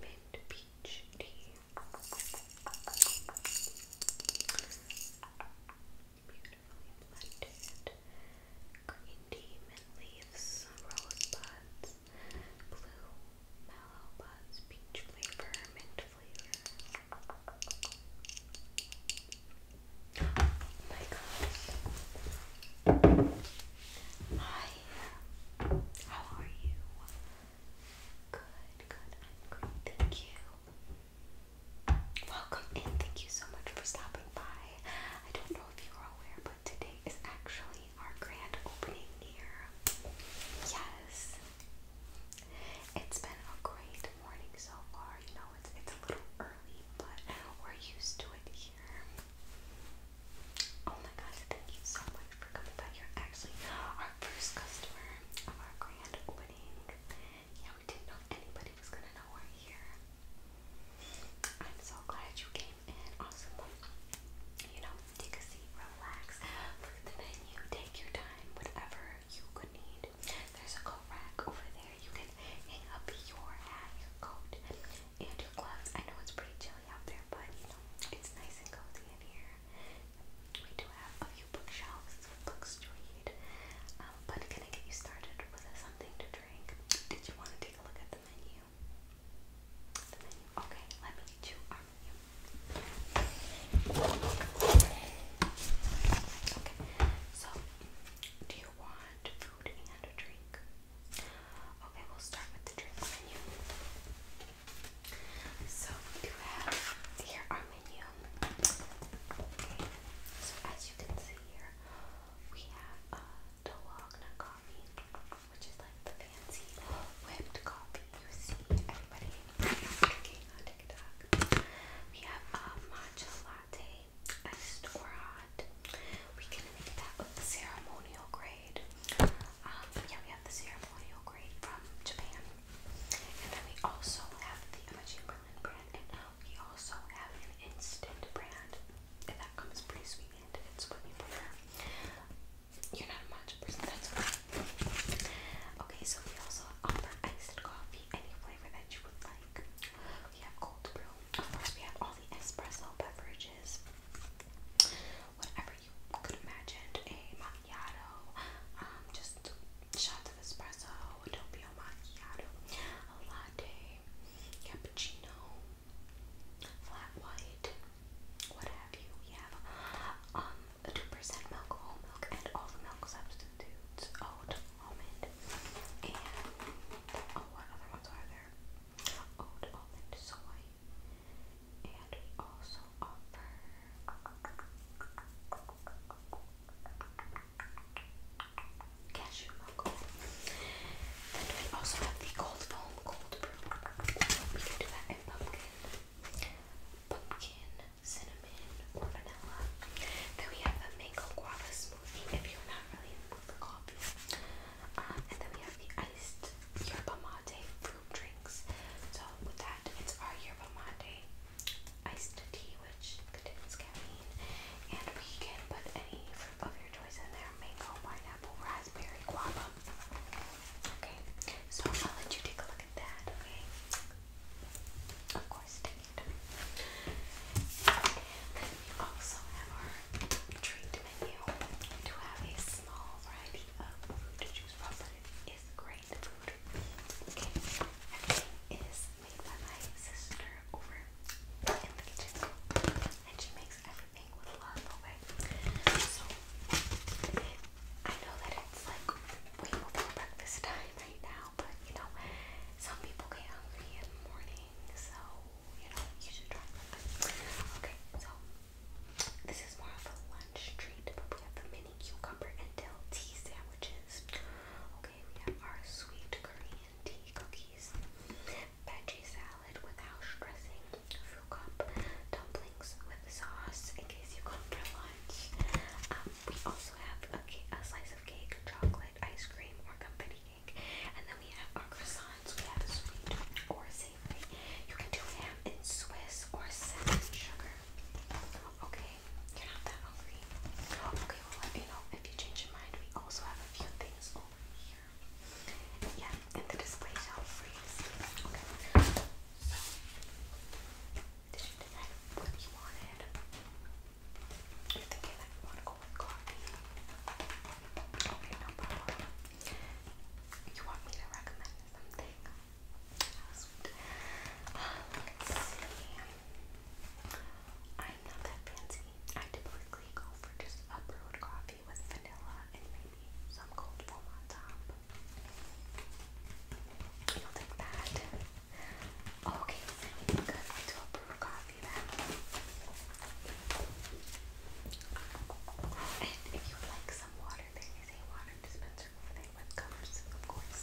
mint peach tea. Beautifully blended. Green tea, mint leaves, rose blue mallow buds, peach flavor, mint flavor. my gosh. Hi. How are you? Good, good. I'm great. Thank you. Welcome and thank you so much for stopping by. I don't know if you are aware, but today is actually our grand opening here. Yes. It's been a great morning so far. You know, it's it's a little early, but we're used to it here. Oh my gosh, thank you so much for coming back. You're actually our first customer of our grand opening. Yeah, we didn't know anybody was gonna know we're here. I'm so glad you came in. Awesome. You know, take a seat, relax, look at the menu, take your time, whatever you could need. There's a coat rack over there. You can hang up your hat, your coat, and your gloves. I know it's pretty chilly out there, but you know, it's nice and cozy in here. We do have a few bookshelves with books to read. Um, but can I get you started with something to drink? Did you want to take a look at the menu? The menu? Okay, let me get you our menu. Okay, so do you want food Okay, we'll start with the drink menu. So we have here our menu. Okay, so as you can see here, we have a uh, coffee, which is like the fancy whipped coffee you see everybody drinking on TikTok. We have a uh, matcha latte latte, iced or hot. We can make that with the ceremonial grade. Um, yeah, we have the ceremonial grade from Japan. And then we also have the Emma Chamberlain brand, and we also have an instant brand. that comes pretty sweet it's what you You're not a matcha person, that's okay. Okay, so we also offer iced coffee, any flavor that you would like. We have cold brew. Of course, we have all the espresso beverages. Whatever you could imagine, a macchiato, um, just shots of espresso, a macchiato, a latte, cappuccino, flat white, what have you. We have um, a 2% milk, whole milk, and all the milk substitutes, oat, oh, almond, and oh, what other ones are there? Oat almond soy, and we also offer cashew milk. Then we also have the cold foam cold brew. We can do that in pumpkin, pumpkin, cinnamon, or vanilla. Then we have the mango guava smoothie smoothie if you're not really in the coffee. Um, and then we have the iced yerba mate fruit drinks. So with that, it's our yerba mate iced tea, which contains caffeine, and we can put any fruit of your choice in there: mango, pineapple, raspberry, guava. Okay, so I'll let you take a look at that. Okay, of course, take and then we also have our treat menu. We have a small variety of food to choose from, but it is great food. Okay, everything is made by my sister over in the kitchen, and she makes everything with love. so I know that it's like way before breakfast time right now, but you know, some people get hungry in the morning, so you know you should try something. Okay, so this is more of a lunch treat, we have the mini cucumber and tea sandwiches. Okay, we have our sweet Korean tea cookies, veggie salad without dressing, fruit cup dumplings with sauce in case you come for lunch. Um, we also have a, slice of cake, chocolate, ice cream, or confetti And then we have our croissants. We have sweet or savory. You can do ham in Swiss or cinnamon sugar. Okay, you're not that hungry. Okay, well let me know if you change your mind. We also have a few things over here. Yeah, and the display shelf for Okay. So, did you what you wanted? you you want me to recommend something? let's see. I'm not that fancy. I typically go for just a brewed coffee with vanilla and maybe some cold foam on top. You'll take that. Okay, good. Wait to brew coffee then. And if you like some water, there is a water dispenser over there with cups, of course.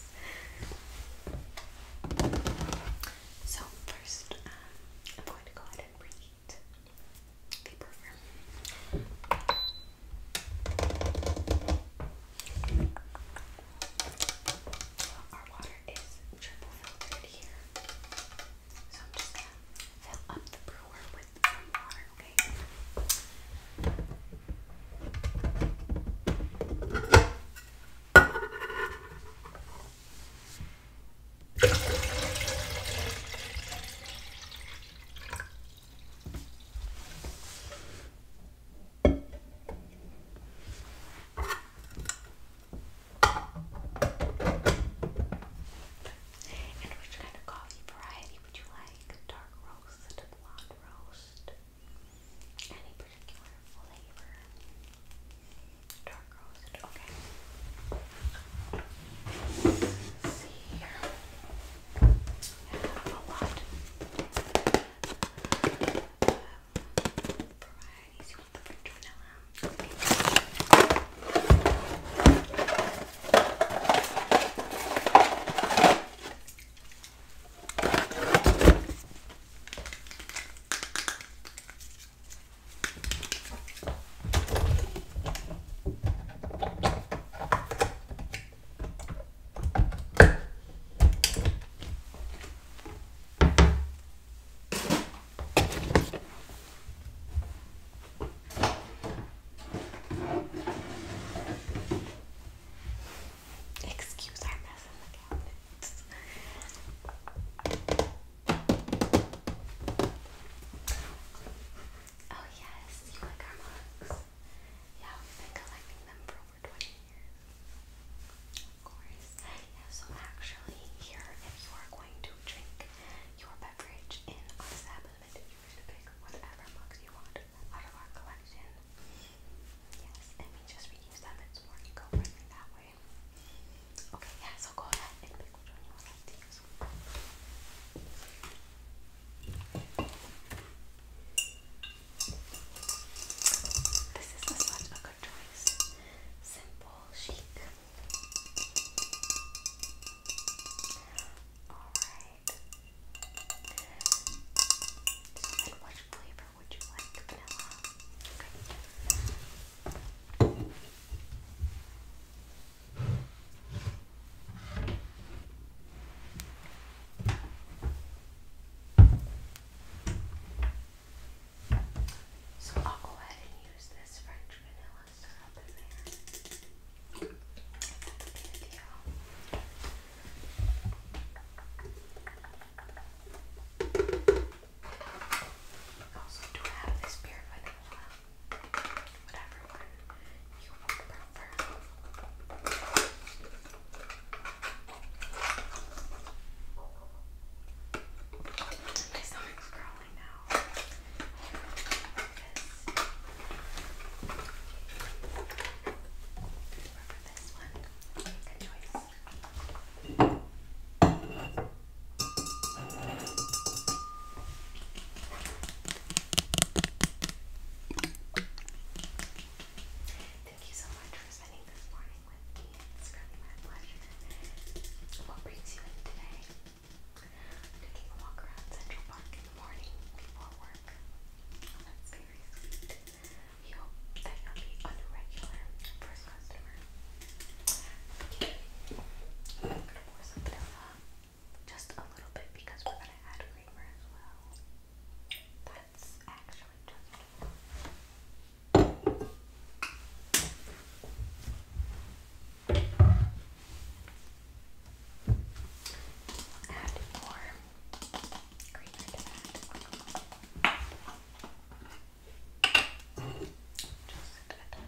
So first, um, I'm going to go ahead and read the program. Our water is triple filtered here. So I'm just gonna fill up the brewer with some water, Okay, and which kind of coffee variety would you like? Dark roast, blonde roast, any particular flavor? Dark roast, okay. see here. I have um, varieties. You want the French vanilla? Okay. Excuse our mess in the cabinets. Oh yes, you like our mugs? Yeah, we've been collecting them for over Of course. Yeah, so actually, here, if you are going to drink your beverage in our establishment, you're pick whatever mugs you want out of our collection. Yes, and we just reuse them, it's more eco friendly that way. Okay, yeah, so go ahead and pick which one you would this is such a good choice. Simple, chic. Alright. what flavor would you like? Vanilla? So I'll go ahead and use this French vanilla syrup in there. That'll I have this beer vanilla, whatever you would prefer. My stomach's growling now. This. Remember this one? Good choice. Thank you so much for spending this morning with me. It's really my pleasure. What brings you in today? I'm walk around Central Park in the morning before work. Oh, that's very We hope that you'll be a regular first customer. Okay. I'm gonna pour something out. Just a little bit because we're gonna add creamer as well. That's actually just add more creamer Just a touch.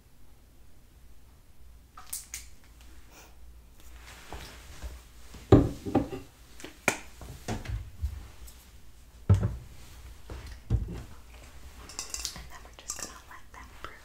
And then we're just going to let that brew.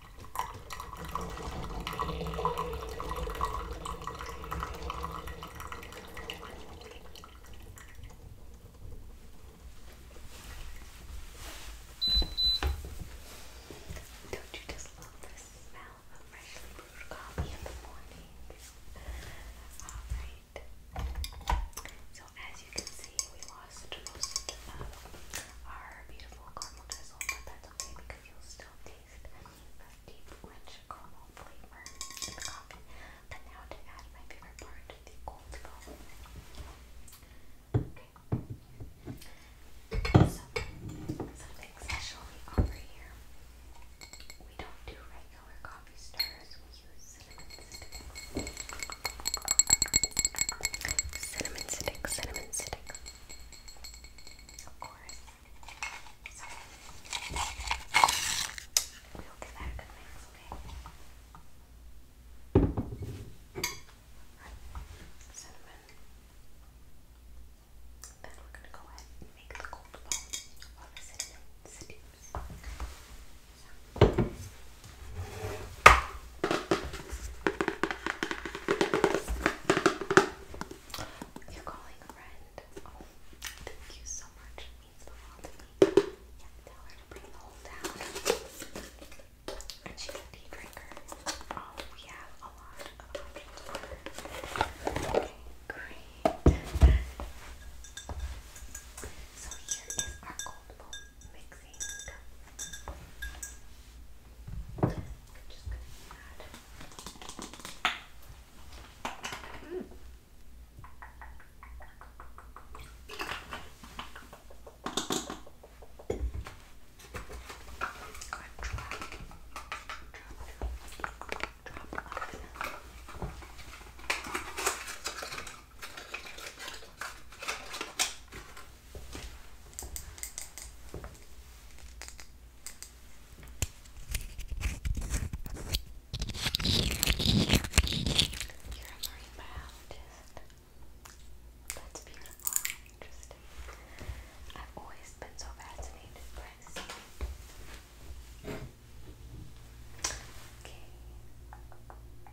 Don't you just love the smell of freshly brewed coffee in the morning? Alright. So as you can see, we lost lost um, our beautiful caramel drizzle, but that's okay because you'll still taste that deep rich caramel flavor in the coffee. But now to add my favorite part, the cold foam. Okay. something specially over here. We don't do regular coffee stirrers. We use Cinnamon stick, cinnamon stick. Of course. We'll get that good mix, okay? Cinnamon. Then we're gonna go ahead and make the cold bone while cinnamon steams. You're calling friend. Oh, thank you so much. means the world to me. Yeah, tell her to bring the whole down. And she's a tea drinker. Oh, we have a lot of options for Okay, great. So here is our cold foam mixing. I'm just gonna add. Mm. Drop, drop, drop, drop. You're a marine biologist. That's beautiful. Interesting. I've always been so fascinated by sea. Okay.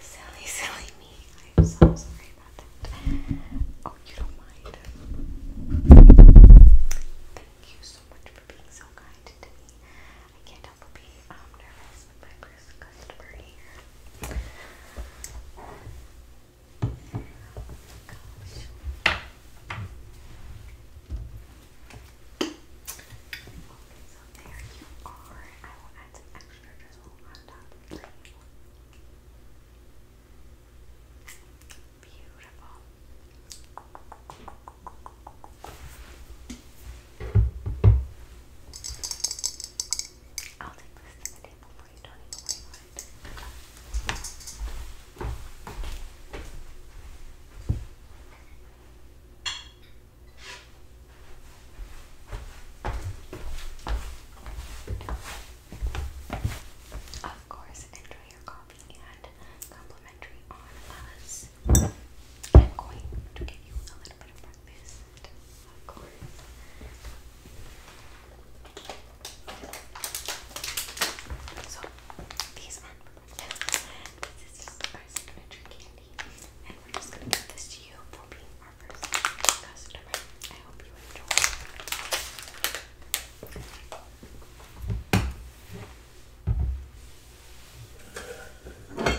silly, silly me. I'm so sorry about that. Oh, you don't mind. Thank you so much for being so kind to me. I can't help but be um, nervous my first customer here gosh. there you are. I will add some extra drizzle on top Beautiful. I'll take this to the table please Of course, enjoy your coffee and complimentary on us. I'm going to give you a little bit of breakfast. Of So these are This is just our signature candy, and we're just gonna give this to you for being our first customer. I hope you enjoy.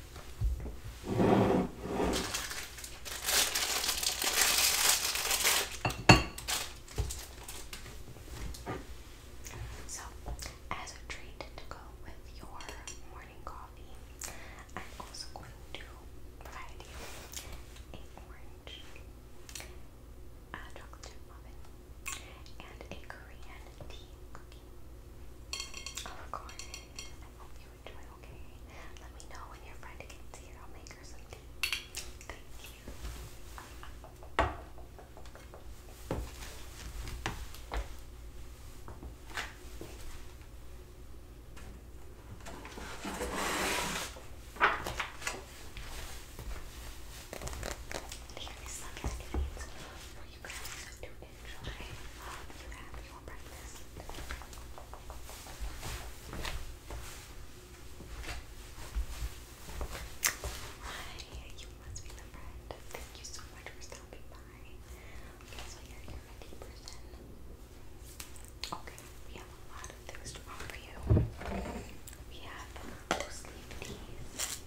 So, as a treat to go with your morning coffee, I'm also going to provide you an orange, a uh, chocolate muffin, and a Korean tea cookie. Of course, you okay? Let me know when your friend gets here. I'll make her some tea. Thank you. you guys to do Hi, you must be the friend. Thank you so much for stopping by. Okay, so you're here at person. Okay, we have a lot of things to offer you. We have loose leaf teas.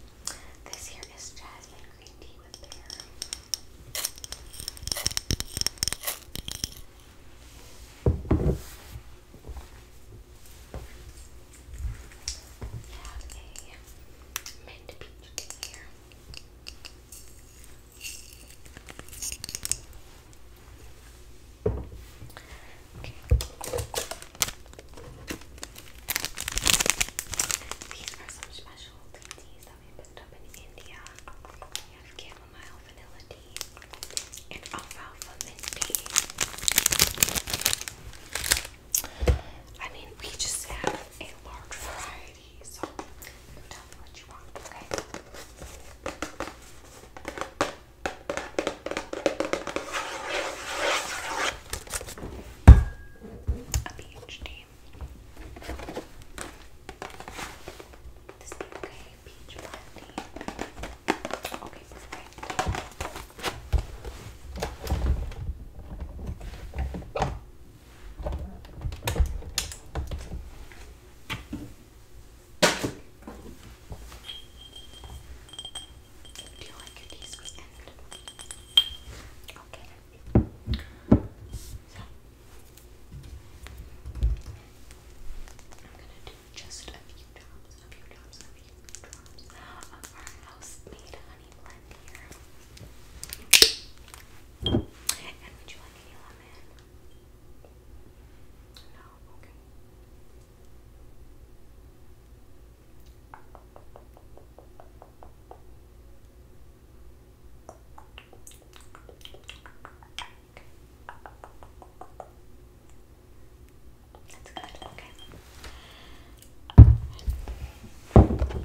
This here is jasmine green tea with there. mint peach Okay. These are some special teas we picked up in India. We have chamomile vanilla tea and alfalfa mint tea. I mean, we just have a large variety, so you tell me what you want, okay? A peach this is okay. Peach brandy. Okay, perfect. Do you like your teaspoon? Okay. So, I'm gonna do just a few drops, a few drops, a few drops of our house honey blend here. And would you like any lemon? No, Okay. That's good, okay. I'm never good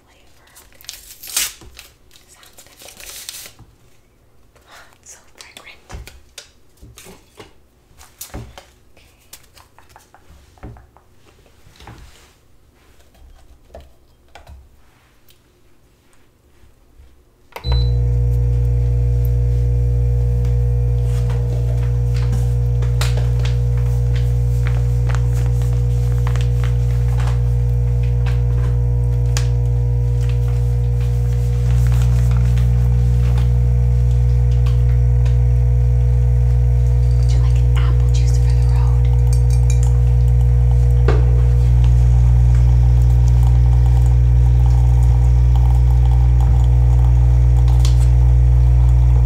flavor. Okay. Sounds good. Oh, it's so fragrant. Okay. Would you like an apple juice for the road?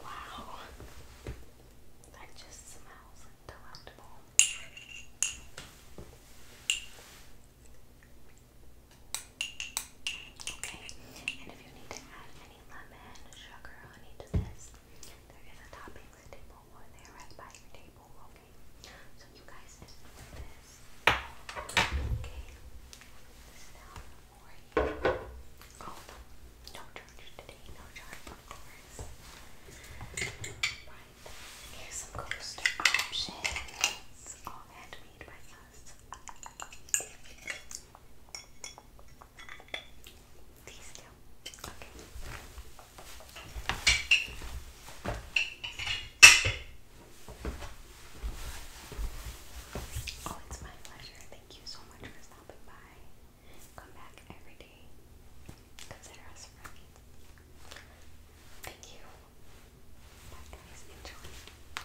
Wow, that just smells delectable. Okay, and if you need to add any lemon, sugar, honey to this, there is a toppings table or there by your table, okay? So you guys just put this, okay? This down for you. no charge today, no charge, of course. here's some coaster options, all handmade by us. Oh, it's my pleasure. Thank you so much for stopping by. Come back every day. Consider us friends. Thank you. Enjoy.